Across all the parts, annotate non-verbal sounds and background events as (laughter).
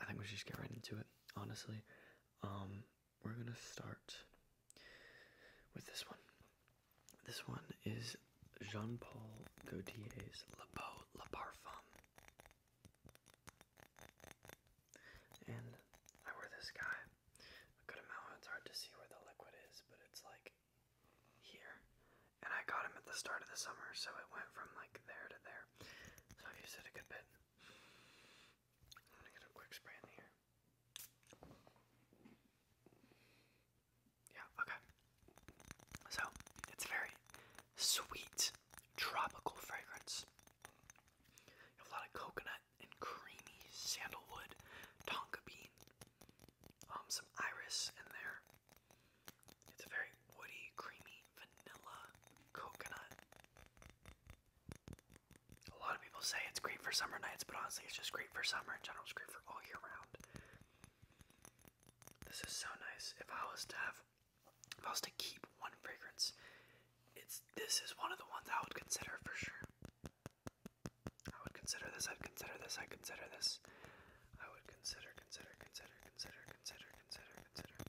I think we should just get right into it, honestly. Um, we're gonna start with this one. This one is Jean Paul Gaultier's Le Beau Le Parfum. And I wear this guy a good amount. It's hard to see where the liquid is, but it's like here. And I got him at the start of the summer, so it went from like there to there. So I've used it a good bit. I'm gonna get a quick spray in here. Yeah, okay. So, it's very sweet, tropical fragrance. a lot of coconut and creamy sandalwood, tonka bean, um, some iris in there. It's a very woody, creamy vanilla coconut a lot of people say it's great for summer nights, but honestly, it's just great for summer in general. It's great for all year round. This is so nice. If I was to have, if I was to keep one fragrance, it's this is one of the ones I would consider for sure. I would consider this. I'd consider this. I'd consider this. I would consider, consider, consider, consider, consider, consider, consider,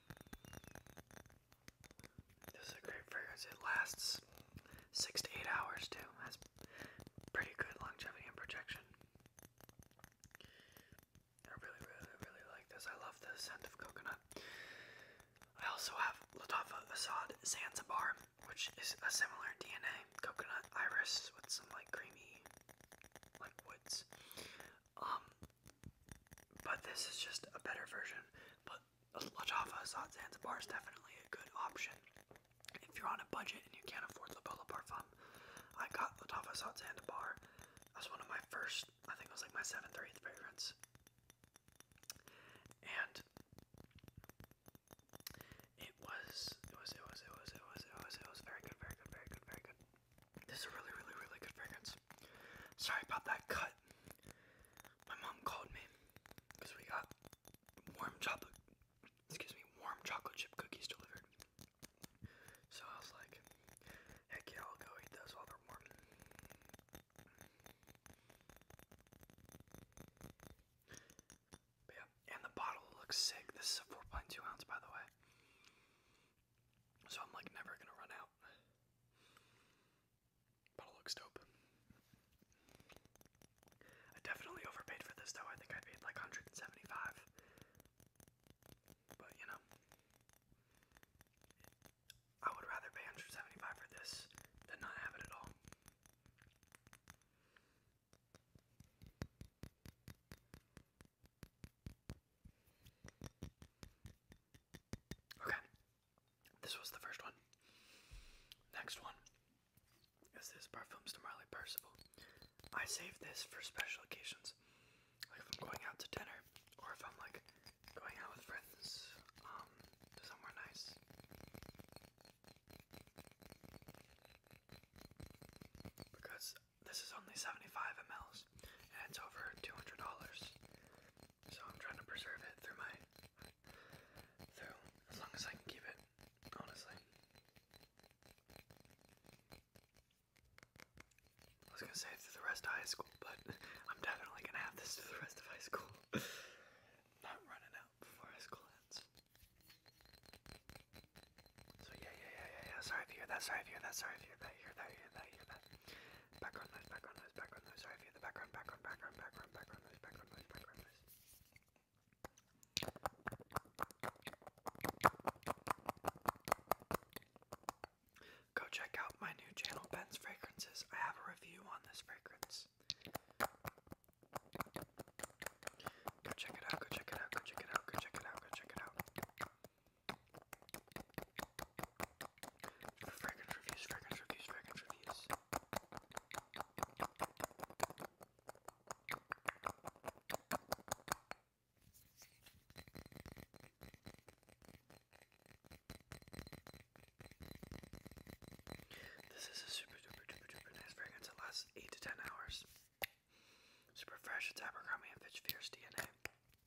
This is a great fragrance. It lasts six to eight hours too. Has pretty good longevity and projection. I really, really, really like this. I love the scent of coconut. I also have Latafa Assad Zanzibar, which is a similar DNA coconut iris with some like creamy like woods. Um, but this is just a better version. But La Java Azad is definitely a good option. If you're on a budget and you can't afford La Bola Parfum, I got La Java Azad Zanzibar one of my first, I think it was like my 7th or 8th fragrance. And it was, it was, it was, it was, it was, it was, very good, very good, very good, very good. This is really, really, really good fragrance. Sorry about that cut. My mom called me because we got warm chocolate, excuse me, warm chocolate chip cookies delivered. So I was like, heck yeah, I'll go eat those while they're warm. yeah, and the bottle looks sick. This is a 4.2 ounce, by the way. So I'm like never gonna run out. But it looks dope. I definitely overpaid for this though. I think I paid like 175. But you know, I would rather pay 175 for this than not have it at all. Okay, this was the first one. Next one is this Parfums de Marley Percival. I save this for special occasions. Like if I'm going out to dinner, or if I'm like going out with friends, um, somewhere nice. Because this is only 75 mLs and it's over $200. So I'm trying to preserve it through my through as long as I can keep it, honestly. I was gonna say it through the rest of high school, but (laughs) I'm definitely gonna have this through the rest of high school. (laughs) Not running out before school ends. So yeah, yeah, yeah, yeah, yeah. Sorry if you hear that. Sorry if you hear that. Sorry if you hear that. Hear that. Hear that. Hear that. Go check out my new channel, Ben's Fragrances. I have a review on this fragrance. Go check it out, go check it out, go check it out, go check it out, go check it out. Fragrance reviews, fragrance reviews, fragrance reviews. This is a super duper duper duper nice fragrance. It lasts 8 to 10 hours. Super fresh, it's Abercrombie and Fitch Fierce DNA.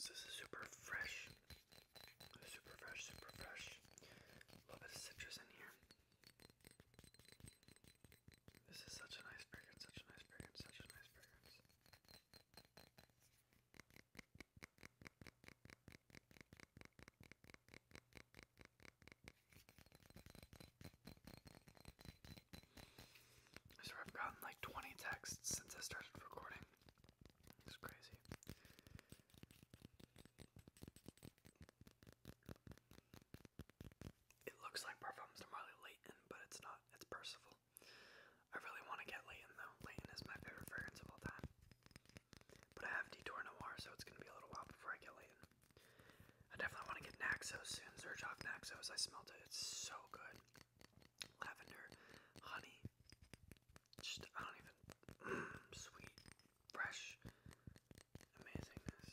So this is super fresh. Super fresh, super fresh. A little bit of citrus in here. This is such a nice fragrance, such a nice fragrance, such a nice fragrance. I So I've gotten like 20 texts since I started recording. It's crazy. It looks like Parfums de Marley Leighton, but it's not. It's Percival. I really want to get Leighton though. Leighton is my favorite fragrance of all time. But I have Detour Noir, so it's going to be a little while before I get Leighton. I definitely want to get Naxos soon. Zerjov Naxos, I smelled it. It's so good lavender, honey, just I don't even mm, sweet, fresh, amazingness.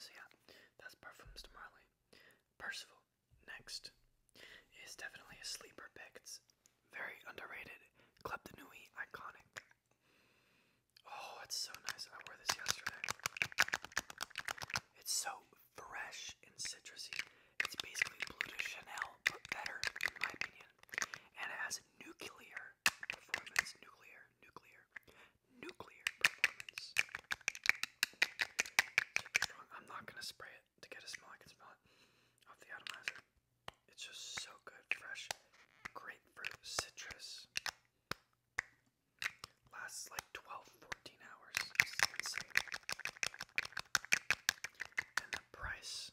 So yeah, that's Parfums de Marley. Percival, next, is definitely a sleeper pick. It's very underrated. Club de Nuit, iconic. Oh, it's so nice. I wore this yesterday. It's so fresh and citrusy. It's basically Blue to Chanel, but better, in my opinion. And it has nuclear performance. Nuclear, nuclear, nuclear performance. I'm not gonna spray it to get a smell. I can smell it off the atomizer. It's just so good. Fresh grapefruit, citrus. Lasts like 12, 14 hours. insane. And the price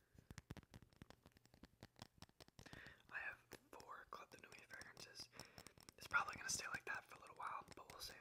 I have four Club de Nuit fragrances. It's probably going to stay like that for a little while, but we'll see.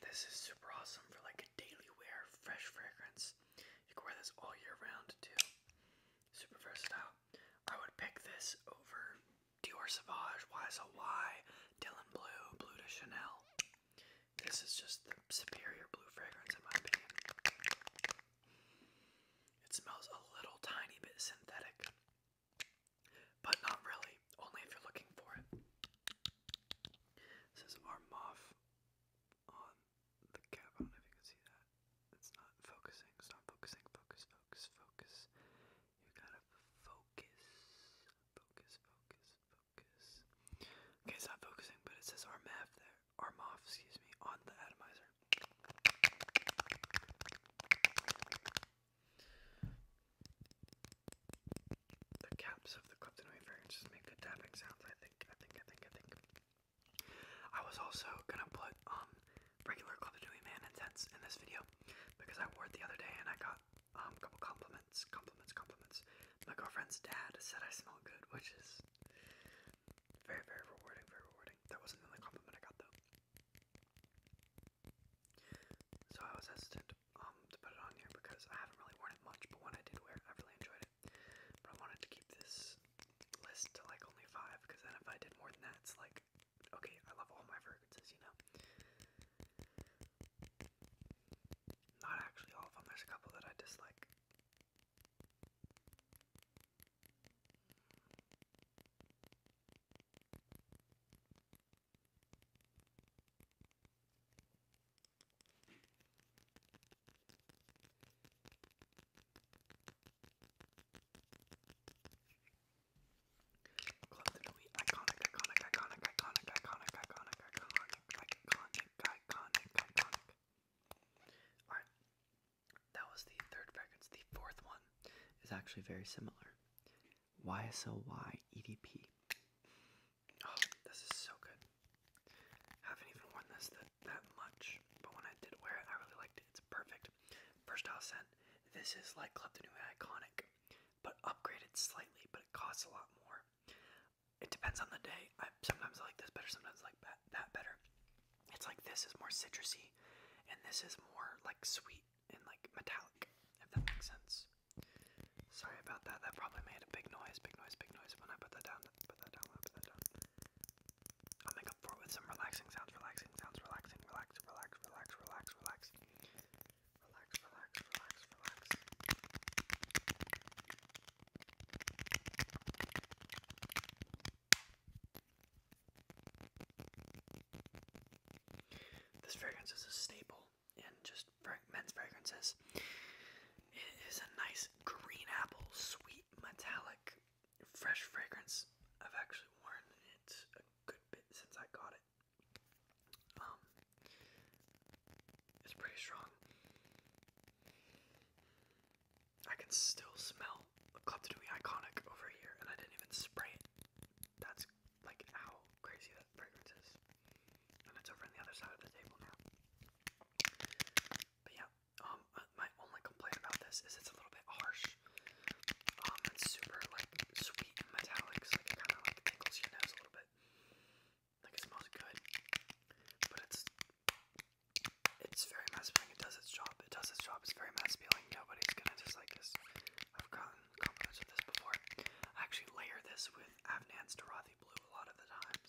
This is super awesome for like a daily wear fresh fragrance. You can wear this all year round too. Super versatile. I would pick this over Dior Sauvage, YSLY, Dylan Blue, Blue de Chanel. This is just the superior blue fragrance, in my opinion. It smells a little tiny bit synthetic, but not really, only if you're looking for it. This is our muff on the cap. I don't know if you can see that. It's not focusing. It's not focusing. Focus, focus, focus. You gotta Focus, focus, focus. Okay, it's focusing, but it says RMF there. Armoff, excuse me, on the atomizer. The caps of the Clifton Wafer just make good tapping sounds, I think, I think, I think, I think. I was also gonna put um regular Clifton Man Intense in this video because I wore it the other day and I got um, couple compliments, compliments, compliments my girlfriend's dad said I smell good, which is very, very rewarding, very rewarding. That wasn't the only compliment I got though. So I was hesitant um, to put it on here because I haven't really worn it much, but when I did wear it, I really enjoyed it. But I wanted to keep this list to like only five because then if I did more than that, it's like, okay, I love all my fragrances, you know? Not actually all of them, there's a couple that I dislike that was the third fragrance. The fourth one is actually very similar. YSLY EDP. Oh, this is so good. Haven't even worn this that, that much, but when I did wear it, I really liked it. It's perfect. First off scent, this is like Club de Nuit Iconic, but upgraded slightly, but it costs a lot more. It depends on the day. I sometimes I like this better, sometimes I like that, that better. It's like this is more citrusy, and this is more like sweet and like metallic. If that makes sense. Sorry about that. That probably made a big noise, big noise, big noise. When I put that down, put that down, put that down. I'll make up for it with some relaxing sounds, relaxing sounds, relaxing, relax, relax, relax, relax, relax. Relax, relax, relax, relax. This fragrance is a staple in just men's fragrances. It is a nice green apple, sweet, metallic, fresh fragrance. I've actually worn it a good bit since I got it. Um, it's pretty strong. I can still smell Klepto to be iconic over here, and I didn't even spray it. That's like how crazy that fragrance is. And it's over on the other side of the table now. But yeah, um, uh, my only complaint about this is it's a little bit harsh. Um, it's super like sweet and like, kind of like tickles your nose a little bit. Like it smells good, but it's it's very mass appealing. It does its job. It does its job. It's very mass Nobody's gonna dislike this. I've gotten compliments of this before. I actually layer this with Avnan's Darathi Blue a lot of the times.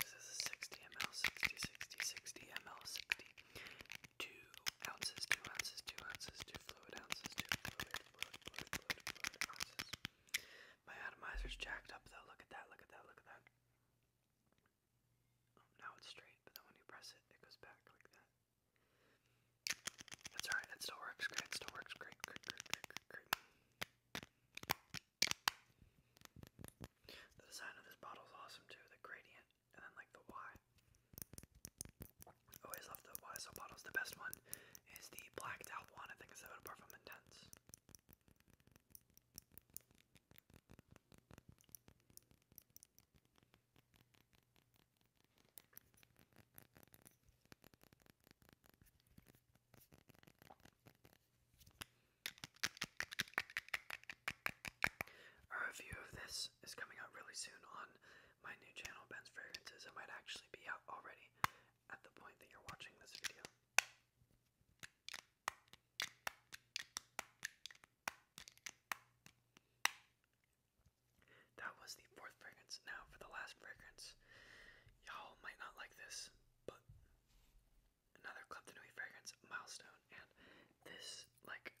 This is a 60 ml, 60, 60, 60 ml, 60. Two ounces, two ounces, two ounces, two fluid ounces, two fluid, fluid, fluid, fluid, fluid ounces. My atomizer's jacked up though. Look at that, look at that, look at that. Oh, now it's straight, but then when you press it, it goes back like that. That's alright, it still works great, it still works great, great, great, great, great, great. The design of this bottle is awesome too, the gradient, and then like the Y. Always love the YSL bottles. The best one is the blacked out one, I think it's about from intense. A review of this is coming out really soon on my new channel, Ben's Fragrances. It might actually be out already at the point that you're watching this video. That was the fourth fragrance. Now for the last fragrance. Y'all might not like this, but another Club fragrance milestone, and this like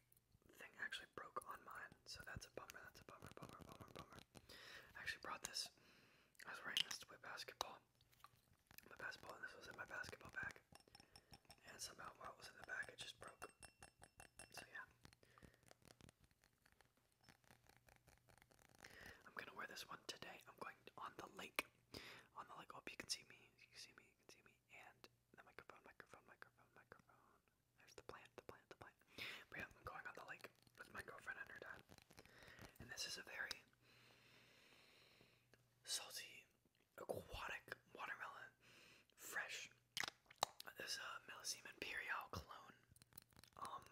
thing actually broke on mine, so that's a bummer. That's a bummer, bummer, bummer, bummer. I actually brought this. I was wearing this to play basketball. My basketball, and this was in my basketball bag, and somehow while it was in the bag, it just broke. So yeah. I'm gonna wear this one today. I'm going on the lake on the leg up, you can see me, you see me, you can see me, and the microphone, microphone, microphone, microphone. There's the plant, the plant, the plant. But yeah, going on the lake with my girlfriend and her dad. And this is a very salty, aquatic watermelon, fresh. This is a Millesime Imperial clone. Um,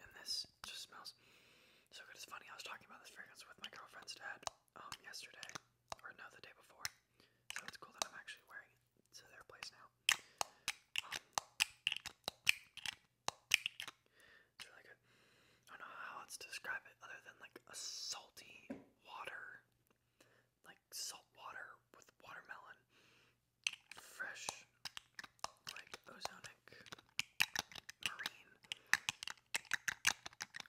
and this just smells so good. It's funny, I was talking about this fragrance with my girlfriend's dad um, yesterday, or no, the day before. So it's cool that I'm actually wearing it to their place now. it's really good. I don't know how else to describe it other than like a salty water, like salt water with watermelon, fresh like ozonic, marine,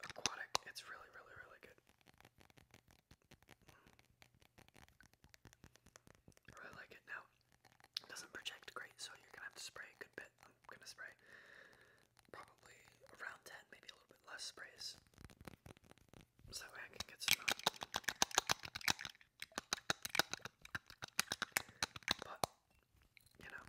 aquatic. It's really, really, really good. really like it. Now, doesn't project great, so you're gonna have to spray a good bit. I'm gonna spray probably around 10, maybe a little bit less sprays. So I can get some uh, but, you know.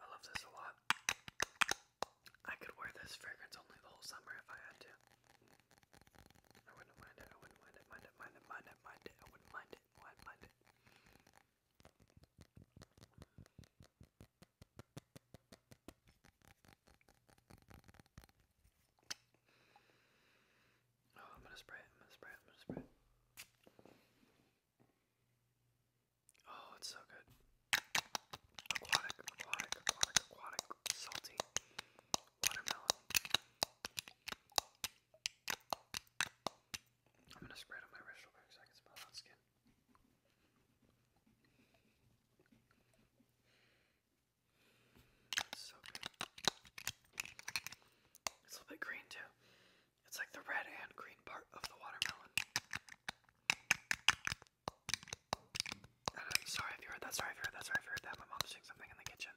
I love this a lot. I could wear this fragrance only the whole summer if I had to. I wouldn't mind it, I wouldn't mind it, mind it, mind it, mind it, mind it, I wouldn't mind it, why mind it. Oh, I'm gonna spray it, I'm gonna spray it, I'm gonna spray it. Oh, it's so good. Aquatic, aquatic, aquatic, aquatic, salty, watermelon. I'm gonna spread it on my wrist real so I can smell that skin. so good. It's a little bit green too. It's like the red and green part of the watermelon. Uh, sorry if you heard that, sorry if you heard that, sorry if you heard that. My mom's doing something in the kitchen.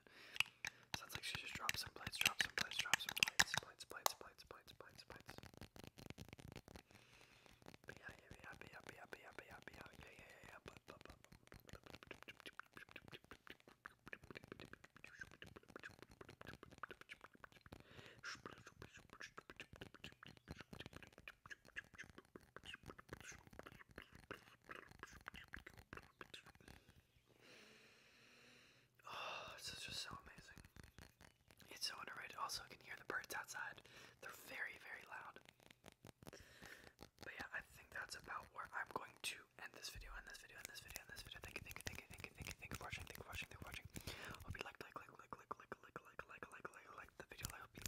Sounds like she just dropped some plates, dropped some plates, dropped some plates, plates, plates, plates, plates, plates, plates. But yeah, yeah, yeah, yeah, yeah, yeah, yeah, yeah, yeah, yeah, yeah, yeah, but, but, but, but. Shh, Oh, this is just so amazing. It's so underrated. Also, I can hear the birds outside. They're very, very loud. But yeah, I think that's about where I'm going to end this video, end this video, end this video, end this video. Thank you, thank you, thank you, thank you, thank you, thank you for watching, thank you for watching, thank you for watching. Hope you like, like, like, like, like, like, like, like, like, like, like the video. I hope you